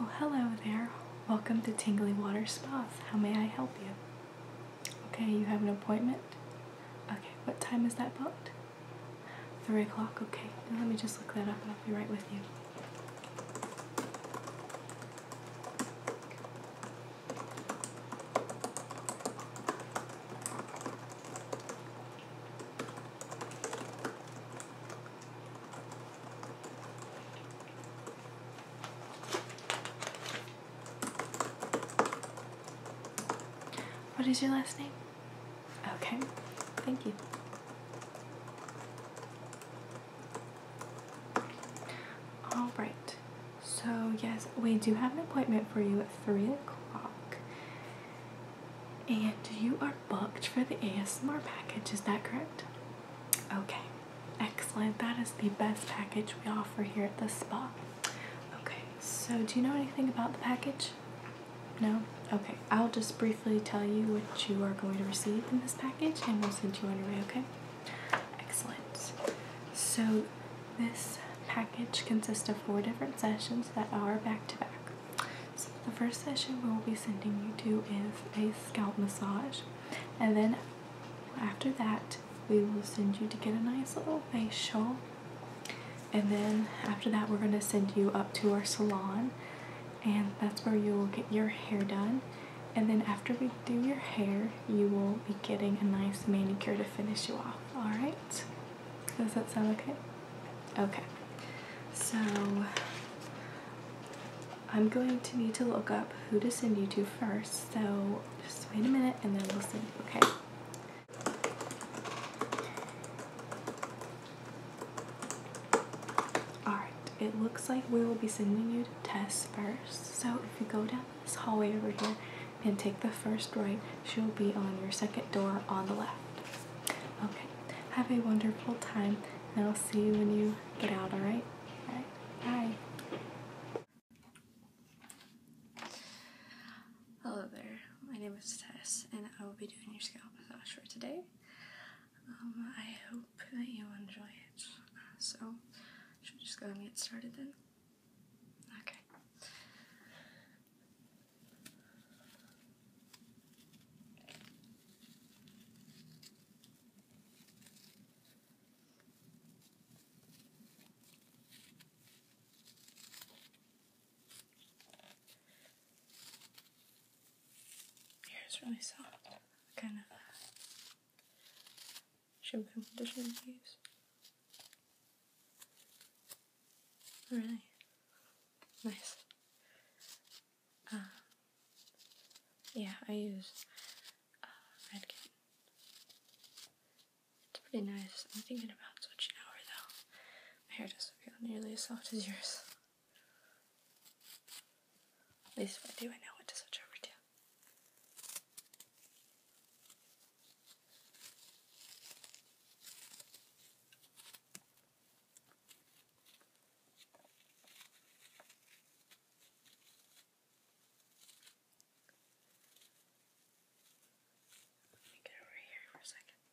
Oh, hello there. Welcome to Tingly Water Spas. How may I help you? Okay, you have an appointment? Okay, what time is that booked? Three o'clock, okay. let me just look that up and I'll be right with you. What is your last name? Okay, thank you. All right, so yes, we do have an appointment for you at 3 o'clock. And you are booked for the ASMR package, is that correct? Okay, excellent. That is the best package we offer here at the spa. Okay, so do you know anything about the package? No? Okay, I'll just briefly tell you what you are going to receive in this package and we'll send you on your way, okay? Excellent. So, this package consists of four different sessions that are back to back. So, the first session we'll be sending you to is a scalp massage, and then after that, we will send you to get a nice little facial and then after that, we're going to send you up to our salon, and that's where you will get your hair done. And then after we do your hair, you will be getting a nice manicure to finish you off. All right? Does that sound okay? Okay. So I'm going to need to look up who to send you to first. So just wait a minute, and then we'll send you. Okay. Alright, it looks like we will be sending you to Tess first. So if you go down this hallway over here and take the first right, she'll be on your second door on the left. Okay, have a wonderful time and I'll see you when you get out, alright? Alright, bye. Hello there, my name is Tess, and I will be doing your scalp massage for today. Um, I hope that you enjoy it. so, should we just go and get started then? Okay. Hair is really soft. kind of uh, shampoo conditioner do use? Really nice. Uh, yeah, I use uh, Redken. It's pretty nice. I'm thinking about switching over though. My hair just feel nearly as soft as yours. At least if I do, I know what to switch over to. Let me get over here for a second.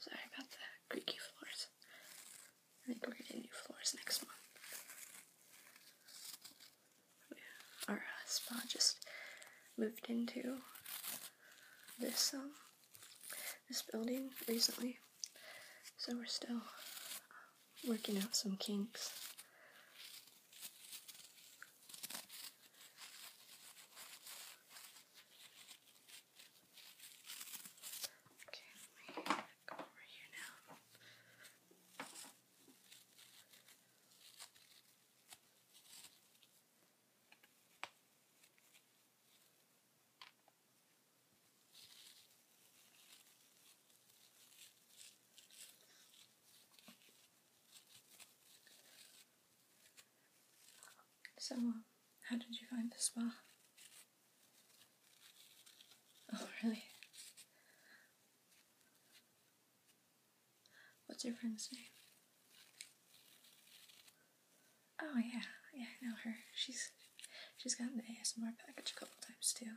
Sorry about the creaky floors. I think we're getting new floors next month. Our uh, spa just moved into this um, this building recently, so we're still working out some kinks. Okay, let me go over here now. Okay. So, uh, how did you find the spa? Oh, really? What's your friend's name? Oh yeah, yeah, I know her. She's she's gotten the ASMR package a couple times too.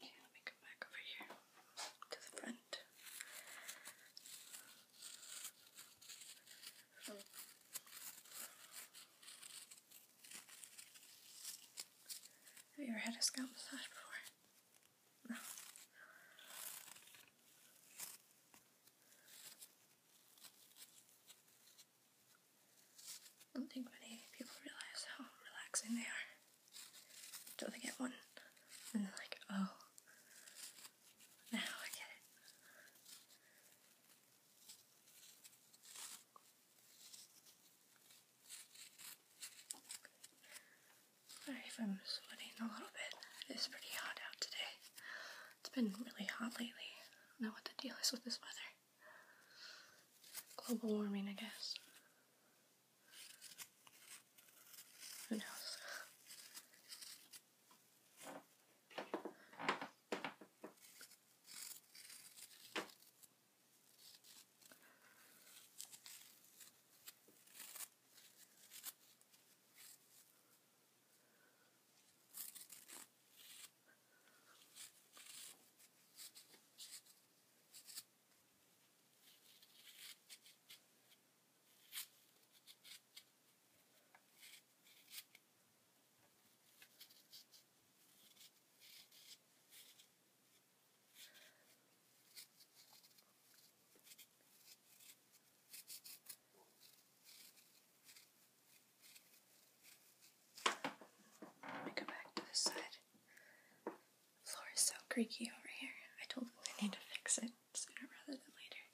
Okay, let me come back over here to the front. Have you ever had a scalp massage before? No. I don't think many people realise how relaxing they are until they get one. And they're like, oh, now I get it. Sorry if I'm sweating a little bit. It is pretty hot out today. It's been really hot lately. I don't know what the deal is with this weather. Global warming, I guess. Who knows? Let me go back to this side. Floor is so creaky over here. I told them I need to fix it sooner rather than later.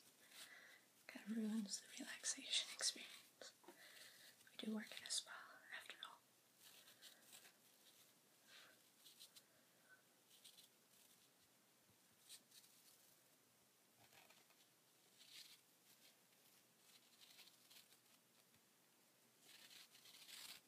Kind of ruins the relaxation experience. We do work in a spa, after all.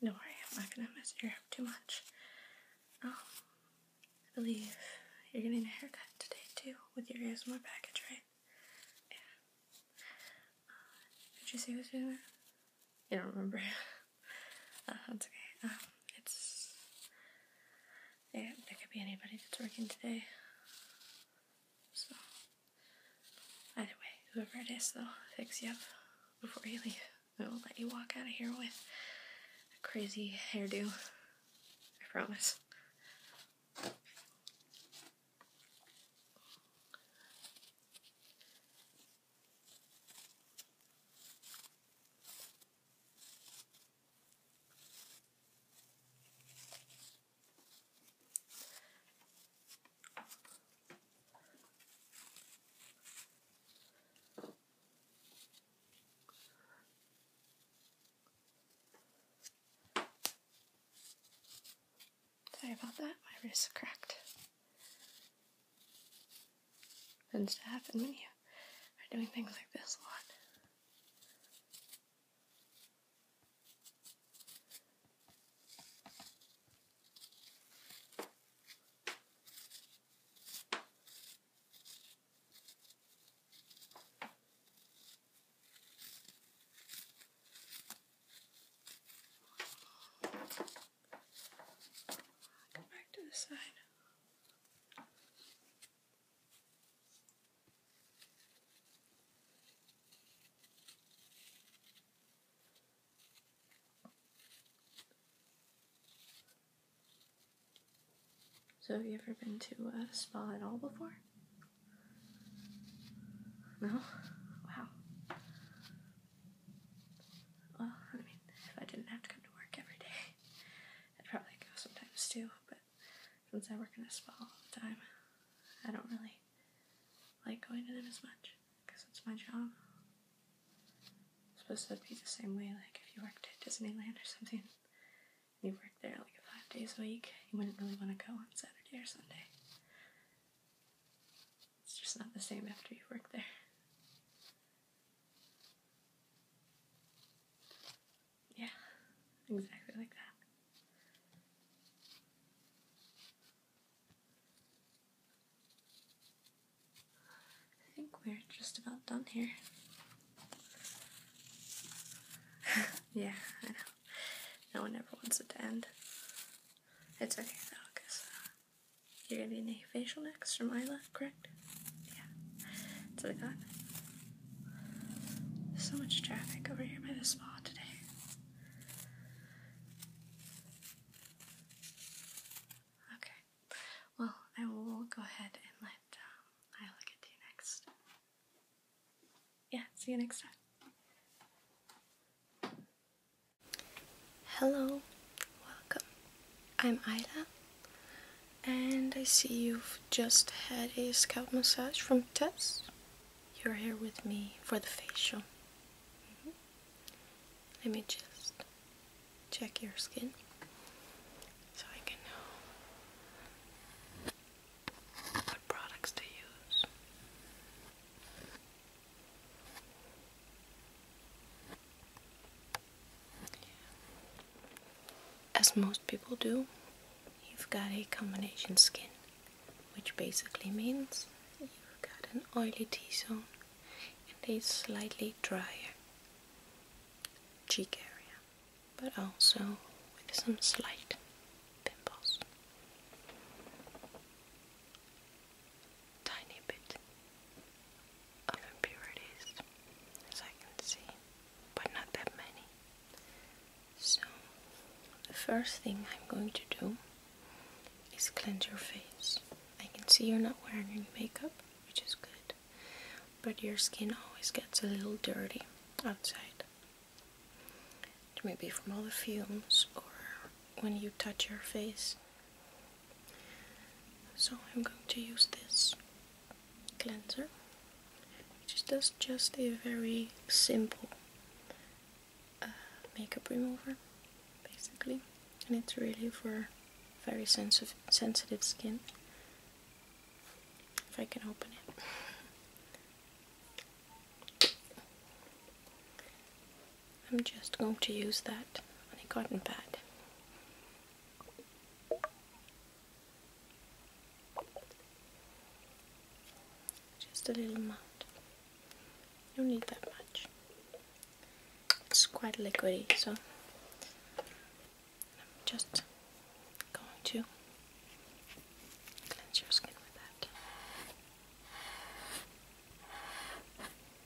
No gonna mess your hair up too much. Oh, I believe you're getting a haircut today too with your ears in my package, right? Yeah. Uh, did you see it was doing you don't remember? uh, that's okay. Um, it's yeah, there could be anybody that's working today. So either way, whoever it is, they'll fix you up before you leave. We will let you walk out of here with a crazy hairdo. I promise. Sorry about that, my wrist cracked and staff and media are doing things like this a lot back to the side. So, have you ever been to a spa at all before? No? Wow. Well, I mean, if I didn't have to come to work every day, I'd probably go sometimes too, but since I work in a spa all the time, I don't really like going to them as much because it's my job. It's supposed to be the same way, like if you worked at Disneyland or something, you worked there like five days a week, you wouldn't really want to go on Saturday or Sunday. It's just not the same after you work there. Yeah, exactly like that. I think we're just about done here. yeah, I know. No one ever wants it to end. It's okay though, because uh, you're gonna be in the facial next from Isla, correct? Yeah. That's what I got. so much traffic over here by the spa today. Okay. Well, I will go ahead and let um, Isla get to you next. Yeah, see you next time. Hello, welcome. I'm Ida, and I see you've just had a scalp massage from Tess. You're here with me for the facial. Mm-hmm. Let me just check your skin so I can know what products to use. As most people do, you've got a combination skin, which basically means you've got an oily T zone and a slightly drier cheek area, but also with some slight pimples tiny bit of impurities as I can see, but not that many. So, the first thing I'm going to do is cleanse your face. I can see you're not wearing any makeup, which is good, but your skin always gets a little dirty outside. Maybe from all the fumes or when you touch your face. So I'm going to use this cleanser, which does just a very simple uh, makeup remover, basically, and it's really for very sensitive sensitive skin. If I can open it. I'm just going to use that on a cotton pad just a little amount. You don't need that much. It's quite liquidy, so I'm just going to cleanse your skin with that.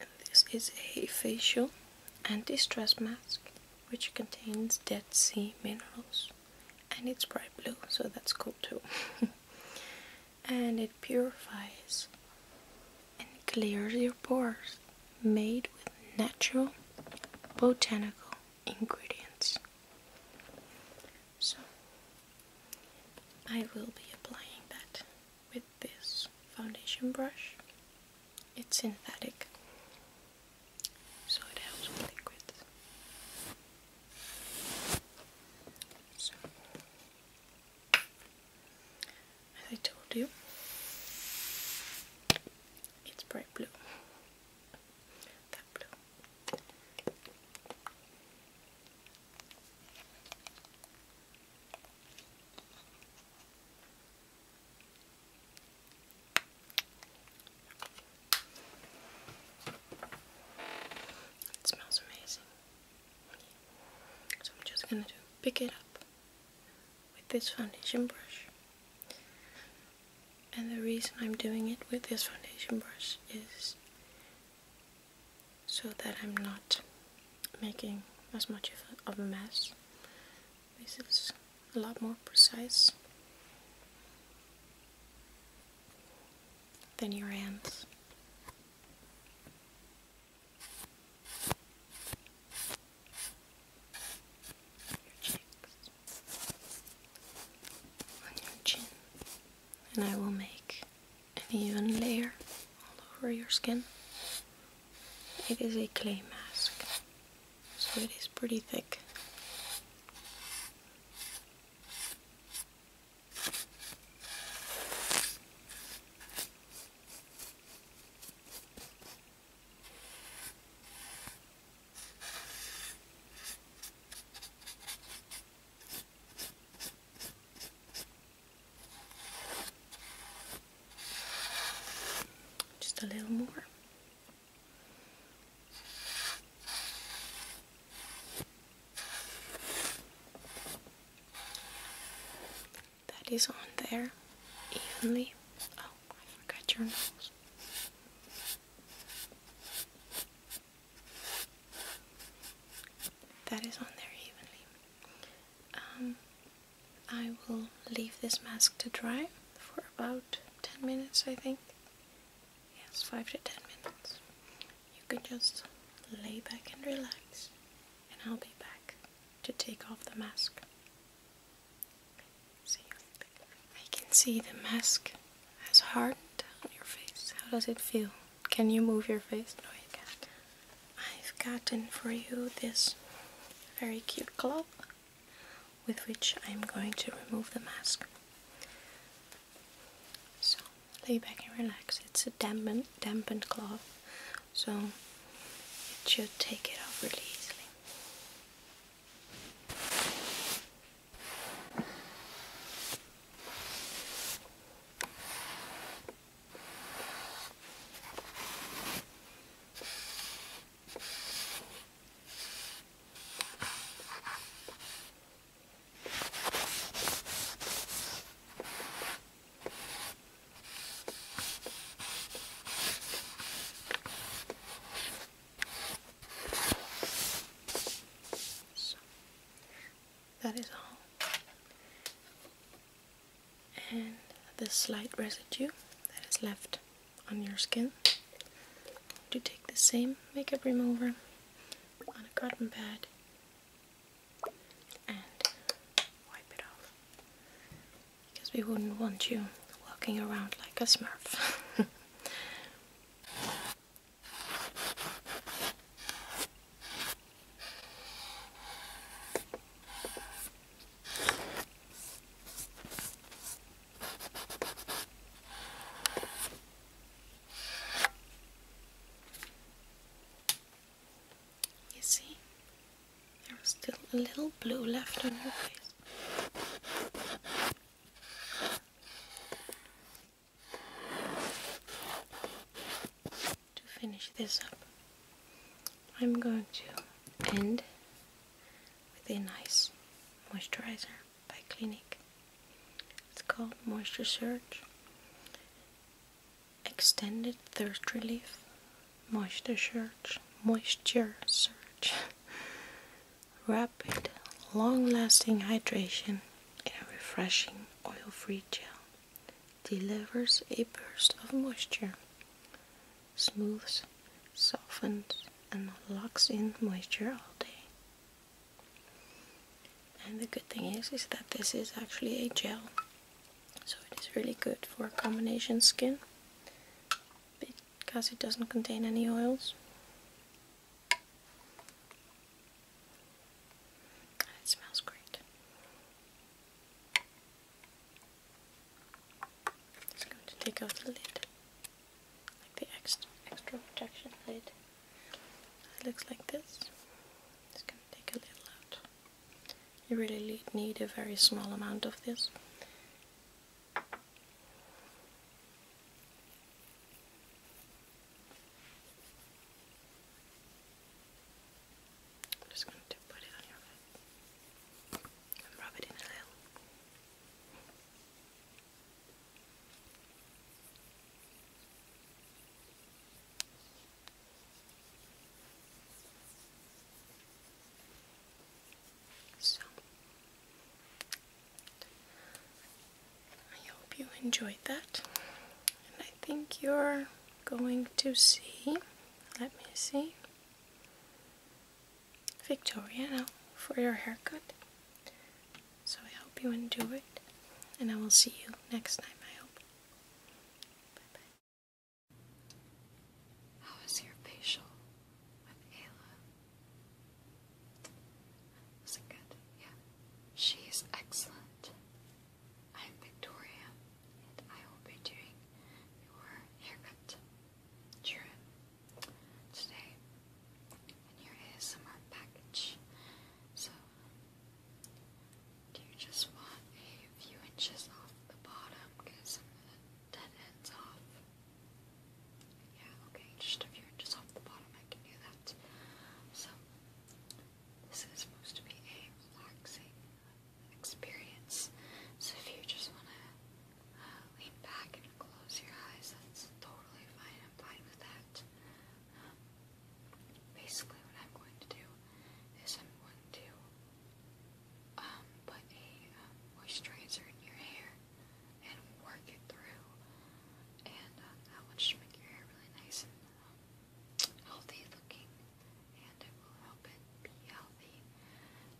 and this is a facial anti-stress mask which contains Dead Sea minerals and it's bright blue so that's cool too and it purifies and clears your pores made with natural botanical ingredients so I will be applying that with this foundation brush. It's synthetic, so it helps with liquids. I told you, it's bright blue. That blue. It smells amazing. So I'm just going to pick it up with this foundation brush. And the reason I'm doing it with this foundation brush is so that I'm not making as much of a, mess. This is a lot more precise than your hands. Your cheeks, on your chin, and I will make an even layer all over your skin. It is a clay mask, so it is pretty thick. Just a little more. That is on there evenly. Oh, I forgot your nose. That is on there evenly. Um, I will leave this mask to dry for about 10 minutes, I think. Yes, 5 to 10 minutes. You can just lay back and relax, and I'll be back to take off the mask. See I can see the mask has hardened on your face. How does it feel? Can you move your face? No, you can't. I've gotten for you this very cute glove with which I'm going to remove the mask. So lay back and relax. It's a dampened, dampened cloth, so it should take it off really easily that is all and the slight residue that is left on your skin. To take the same makeup remover on a cotton pad and wipe it off because we wouldn't want you walking around like a smurf. You see, there still a little blue left on your face. To finish this up, I'm going to end with a nice moisturizer by Clinique. It's called Moisture Surge Extended Thirst Relief Moisture Surge Moisture Surge Rapid long-lasting hydration in a refreshing oil-free gel delivers a burst of moisture smooths, softens, and locks in moisture all day. And the good thing is, is that this is actually a gel, so it is really good for combination skin because it doesn't contain any oils. It smells great. It's going to take out the lid, like the extra, protection lid. It looks like this. Just going to take a little out. You really need a very small amount of this. I'm just going to put it on your head and rub it in a little. So, I hope you enjoyed that, and I think you're going to see. Let me see. Victoria now for your haircut. So I hope you enjoy it, and I will see you next time, I hope. Bye bye. How is your facial with Ayla? Was it good? Yeah. She's excellent. I'm Victoria. I will be doing your haircut during today in your ASMR package. So, you just want a few inches off the bottom? Get some of the dead ends off. Yeah, okay, just a few inches off the bottom, I can do that. So, this is supposed to be a relaxing experience. So if you just want to uh, lean back and close your eyes, that's totally fine. I'm fine with that. Um, basically, what I'm going to do is I'm going to um, put a um, moisturizer in your hair and work it through, and that will just make your hair really nice and healthy looking and it will help it be healthy.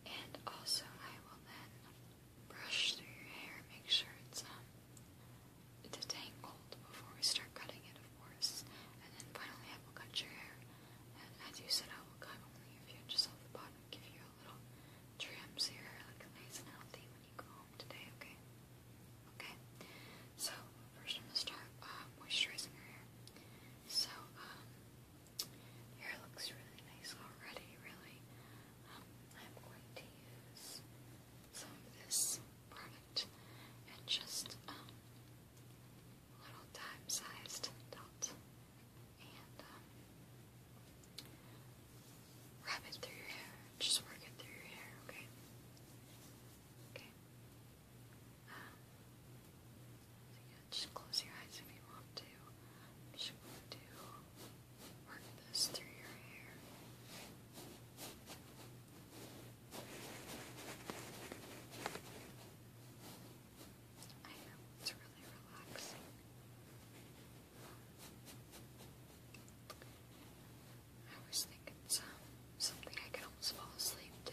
And also, I will then brush through your hair, make sure it's um it's detangled before we start cutting it, of course. And then finally, I will cut your hair. And as you said, I will cut only a few inches off the bottom, give you a little trim so your hair looks nice and healthy when you go home today. Okay. Okay. So first, I'm gonna start uh, moisturizing your hair. So um, Hair looks really nice already, really. Um, I'm going to use some of this product and just um, little dime-sized dot and um, it through your hair. Just work it through your hair, okay? Okay. Um, just close your eyes if you want to. I'm going to work this through your hair. I know it's really relaxing. I always think it's um, something I can almost fall asleep to.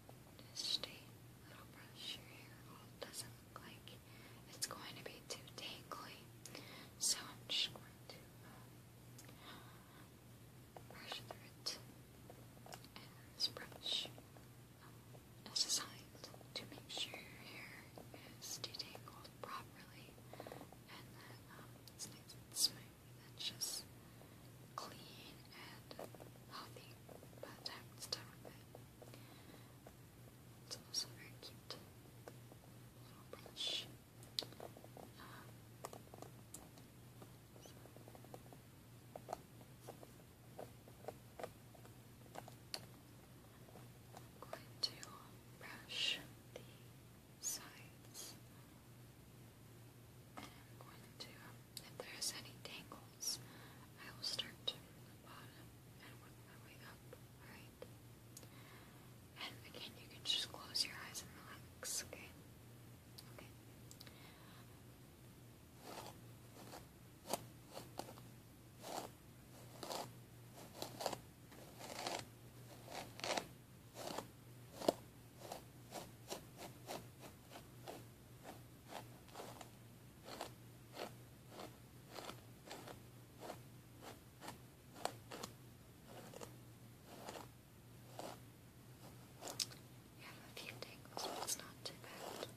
Just a little brush your it doesn't look like it's going to be too tangly. So I'm just going to uh, brush through it. And this brush um, is designed to make sure your hair is detangled properly and that um, it's nice and smooth and just clean and healthy by the time it's time for It's also very cute little brush. going um, to brush the sides and I'm going to um, if there is any tangles, I will start from the bottom and work my way up, alright? And again, you can just close your eyes and relax, Okay. Okay have a few tangles, but it's not too bad. Okay.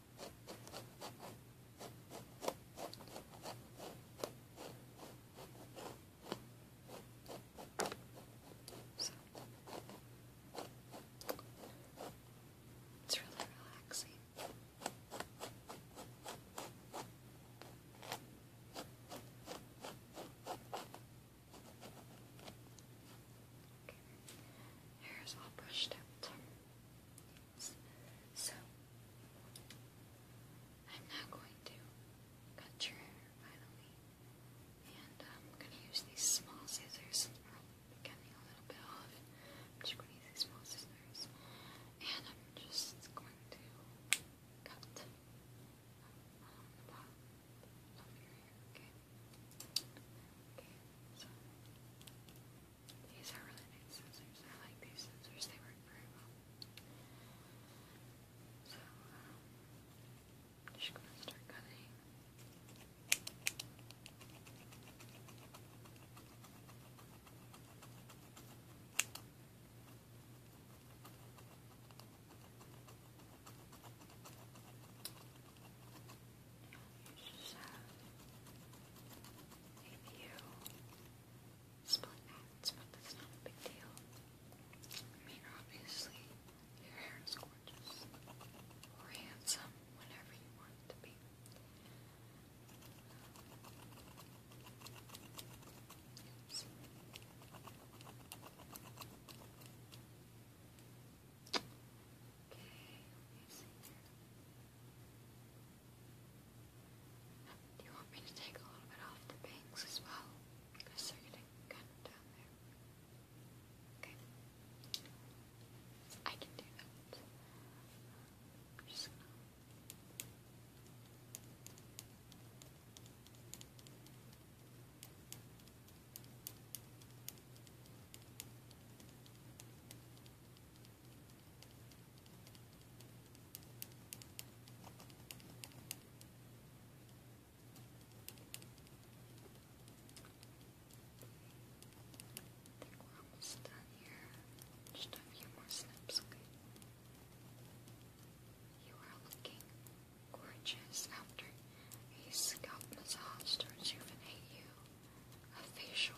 So it's really relaxing. Hair is all brushed out. So, I'm not going to cut your hair finally, and I'm going to use these small scissors. I'm getting a little bit off. I'm just going to use these small scissors, and I'm just going to cut along the bottom of your hair, okay? Okay, so. These are really nice scissors. I like these scissors. They work very well. So, um, gonna start cutting. You just have split ends, but that's not big deal. I mean, obviously, your hair is gorgeous or handsome, whatever you want to be. Okay, let see do you want me to take a little bit off the bangs as well? Because they're getting kind of down there. Okay. I can do that. just I think we're almost done here. Just a few more snips, okay? You are looking gorgeous after a scalp massage to rejuvenate you a facial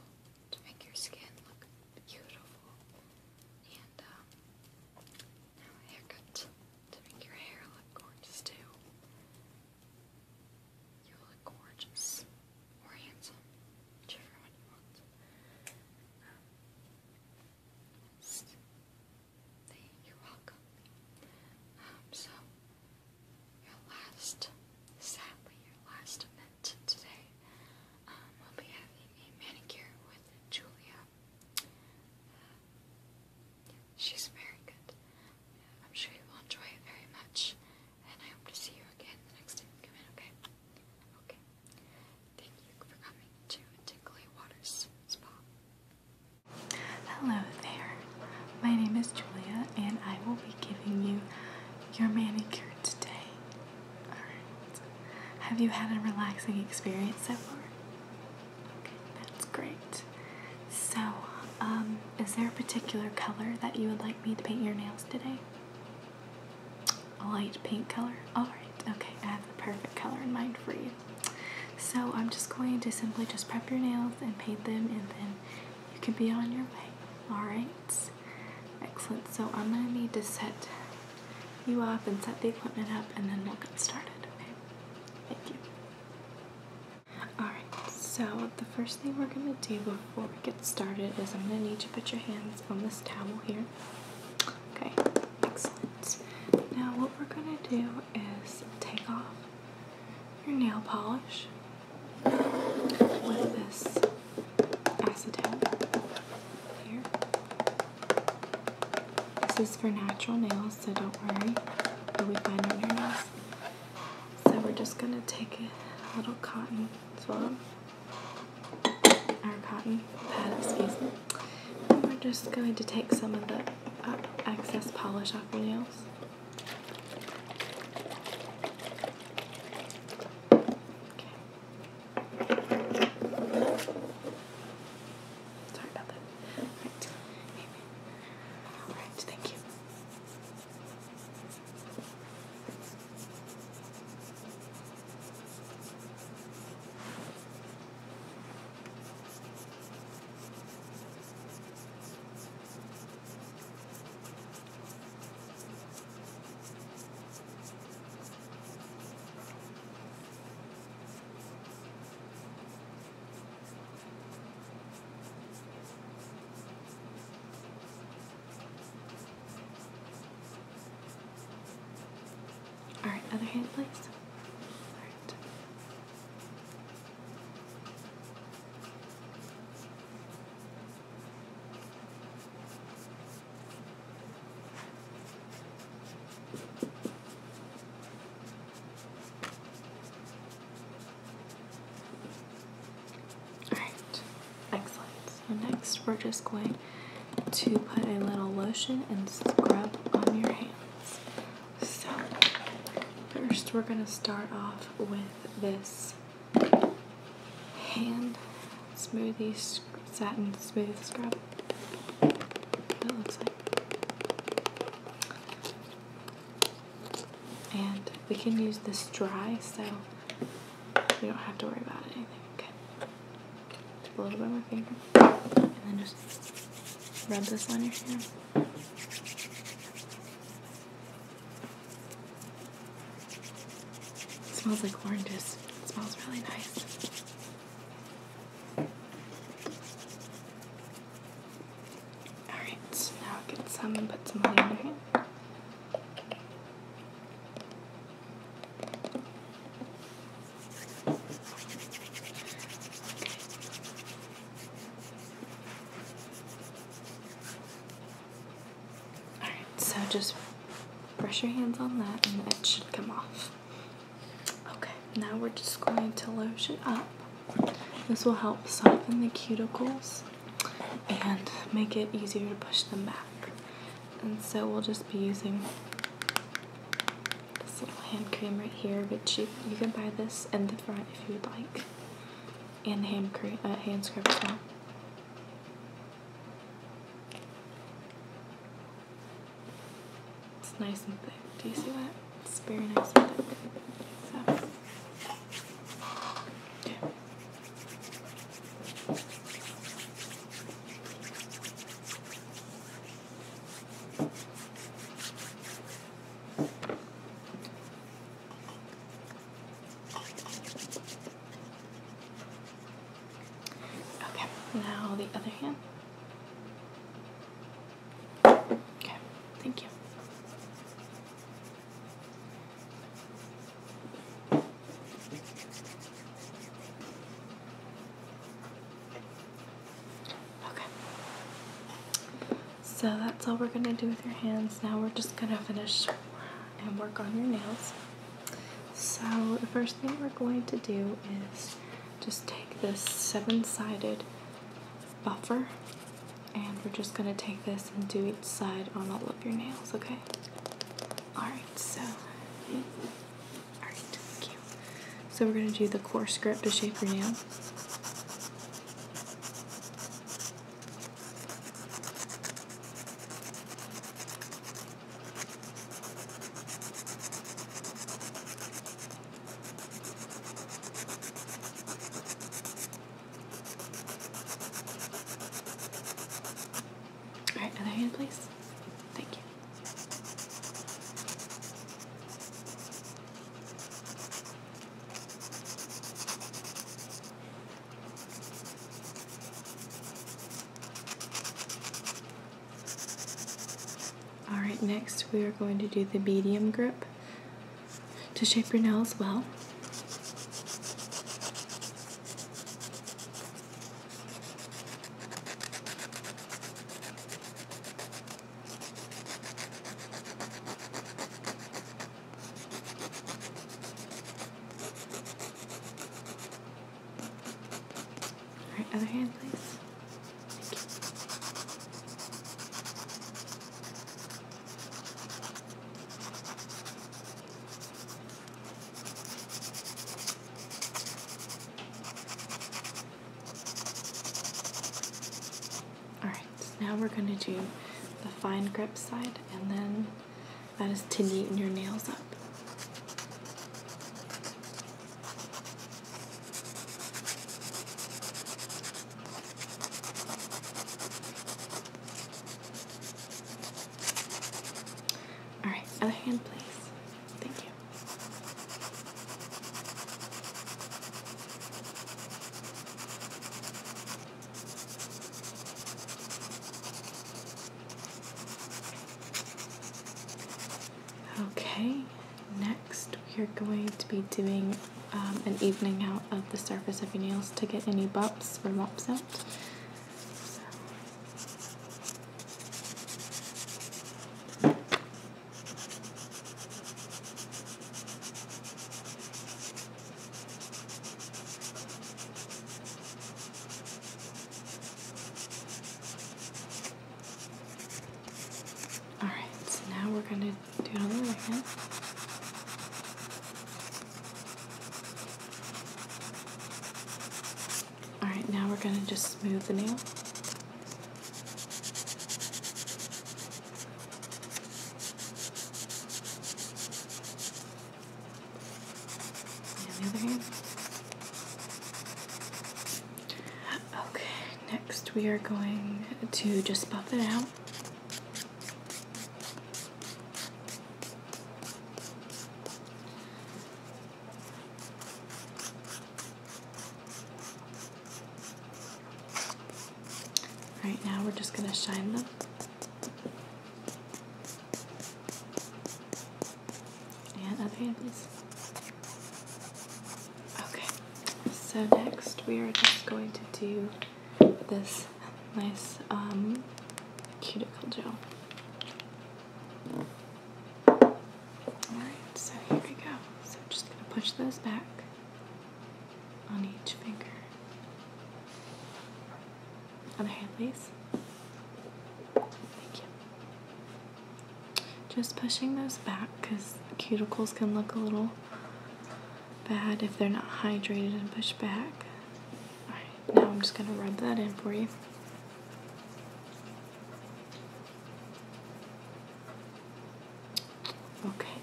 to make your skin look beautiful, and um, now a haircut to make your hair look gorgeous too. You look gorgeous handsome, you want. Um, welcome. Um, so, your last, sadly, your last event today um, we'll be having a manicure with Julia. Uh, she's very good. I'm sure you will enjoy it very much, and I hope to see you again the next time you come in, okay? Okay. Thank you for coming to Tinkly Waters Spa. Hello there. My name is Julia, and I will be giving you your manicure today. Have you had a relaxing experience so far? that's great. So, um, is there a particular color that you would like me to paint your nails today? A light pink color? All right. Okay, I have the perfect color in mind for you. So, I'm just going to simply just prep your nails and paint them, and then you can be on your way. All right. Excellent, so I'm gonna need to set you up and set the equipment up and then we'll get started, okay? Thank you. Alright, so the first thing we're gonna do before we get started is I'm gonna need to put your hands on this towel here. Okay, excellent. Now what we're gonna do is take off your nail polish this? Acetone. Here. This is for natural nails, so don't worry. you we be on your nails. So we're just gonna take a little cotton swab. Our cotton pad, excuse me. we're just going to take some of the uh, excess polish off your nails. Okay. Sorry about that. Alright, thank you. All right, other hand, please. Alright, excellent. So, next we're just going to put a little lotion and scrub on your hands. So, first we're going to start off with this hand smoothie satin smooth scrub. That looks like. And we can use this dry, so we don't have to worry about it. Okay. Just a little bit of my finger, and then just rub this on your hand. It smells like oranges. It smells really nice. Alright, now get some and put some honey Alright, so just brush your hands on that and it should come off. Okay, now we're just going to lotion up. This will help soften the cuticles and make it easier to push them back. And so we'll just be using this little hand cream right here, which you, you can buy this in the front if you would like, and hand cream, uh, hand scrub as well. It's nice and thick. Do you see that? It's very nice and thick. So. Okay, now the other hand. Okay, thank you. Okay. So that's all we're going to do with your hands. Now we're just going to finish and work on your nails. So, the first thing we're going to do is just take this seven sided buffer and we're just going to take this and do each side on all of your nails, okay? Alright, so. Alright, thank you. So, we're going to do the coarse grip to shape your nail. All right, other hand, please. Thank you. Alright, next we are going to do the medium grip to shape your nails well. Alright, other hand, please. Alright, now we're going to do the fine grip side and then that is to tinting your nails up. All right, other hand, please. Thank you. Okay, next we are going to be doing um, an evening out of the surface of your nails to get any bumps or lumps out. Alright, so now we're going to do it on the other hand. Alright, now we're going to just smooth the nail. Okay, next we are going to just buff it out. Right now we're just going to shine them. And other hand, Okay, so next we are just going to do this nice um, cuticle gel. Alright, so here we go. So I'm just going to push those back on each finger. Other hand, please. Thank you. Just pushing those back because cuticles can look a little bad if they're not hydrated and pushed back. Alright, now I'm just going to rub that in for you. Okay,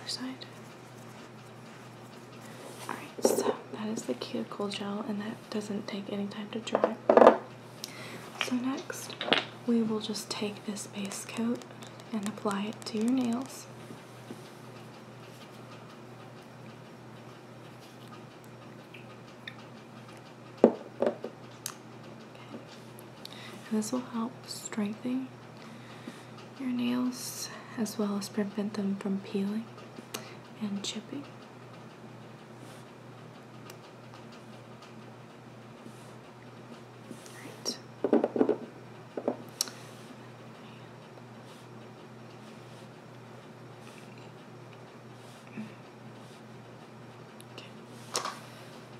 other side. Alright, so that is the cuticle gel, and that doesn't take any time to dry. So next, we will just take this base coat and apply it to your nails. this will help strengthen your nails as well as prevent them from peeling and chipping.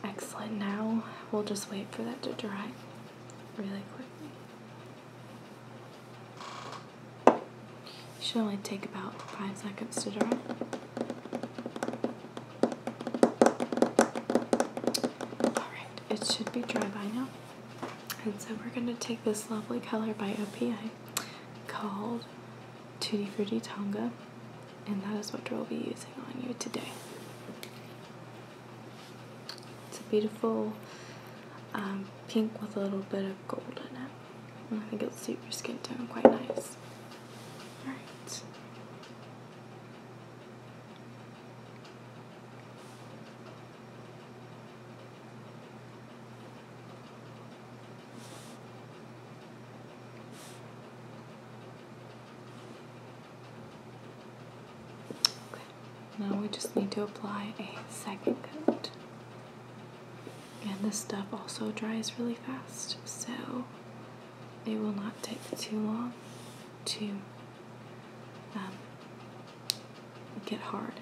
Excellent. Now we'll just wait for that to dry really quickly should only take about five seconds to dry. Alright, it should be dry by now. And so we're going to take this lovely color by OPI called Tutti Frutti Tonga. And that is what we'll be using on you today. It's a beautiful um, pink with a little bit of gold in it. I think it'll suit your skin tone quite nice. Alright. Okay. Now we just need to apply a second coat and this stuff also dries really fast, so it will not take too long to um, get hard,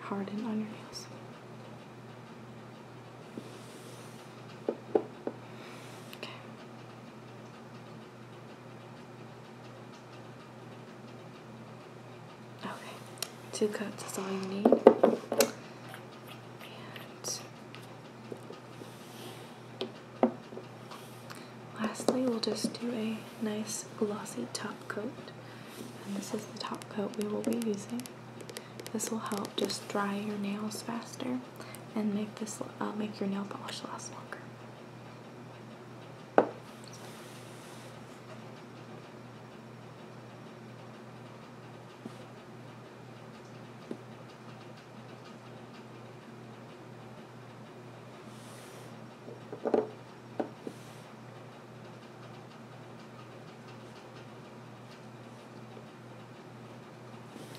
harden on your nails. Okay. Okay, two coats is all you need. And lastly, we'll just do a nice glossy top coat. And this is the top coat we will be using. This will help just dry your nails faster and make this uh, make your nail polish last longer.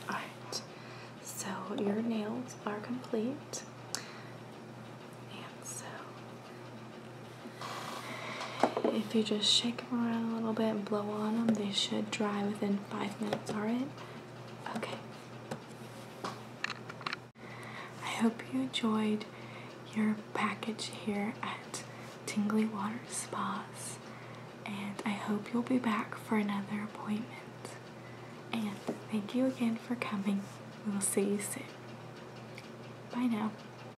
Alright, so your nails are complete. And so if you just shake them around a little bit and blow on them, they should dry within five minutes, alright? Okay. I hope you enjoyed your package here at Tingly Water Spas, and I hope you'll be back for another appointment. And thank you again for coming. We'll see you soon. Bye now.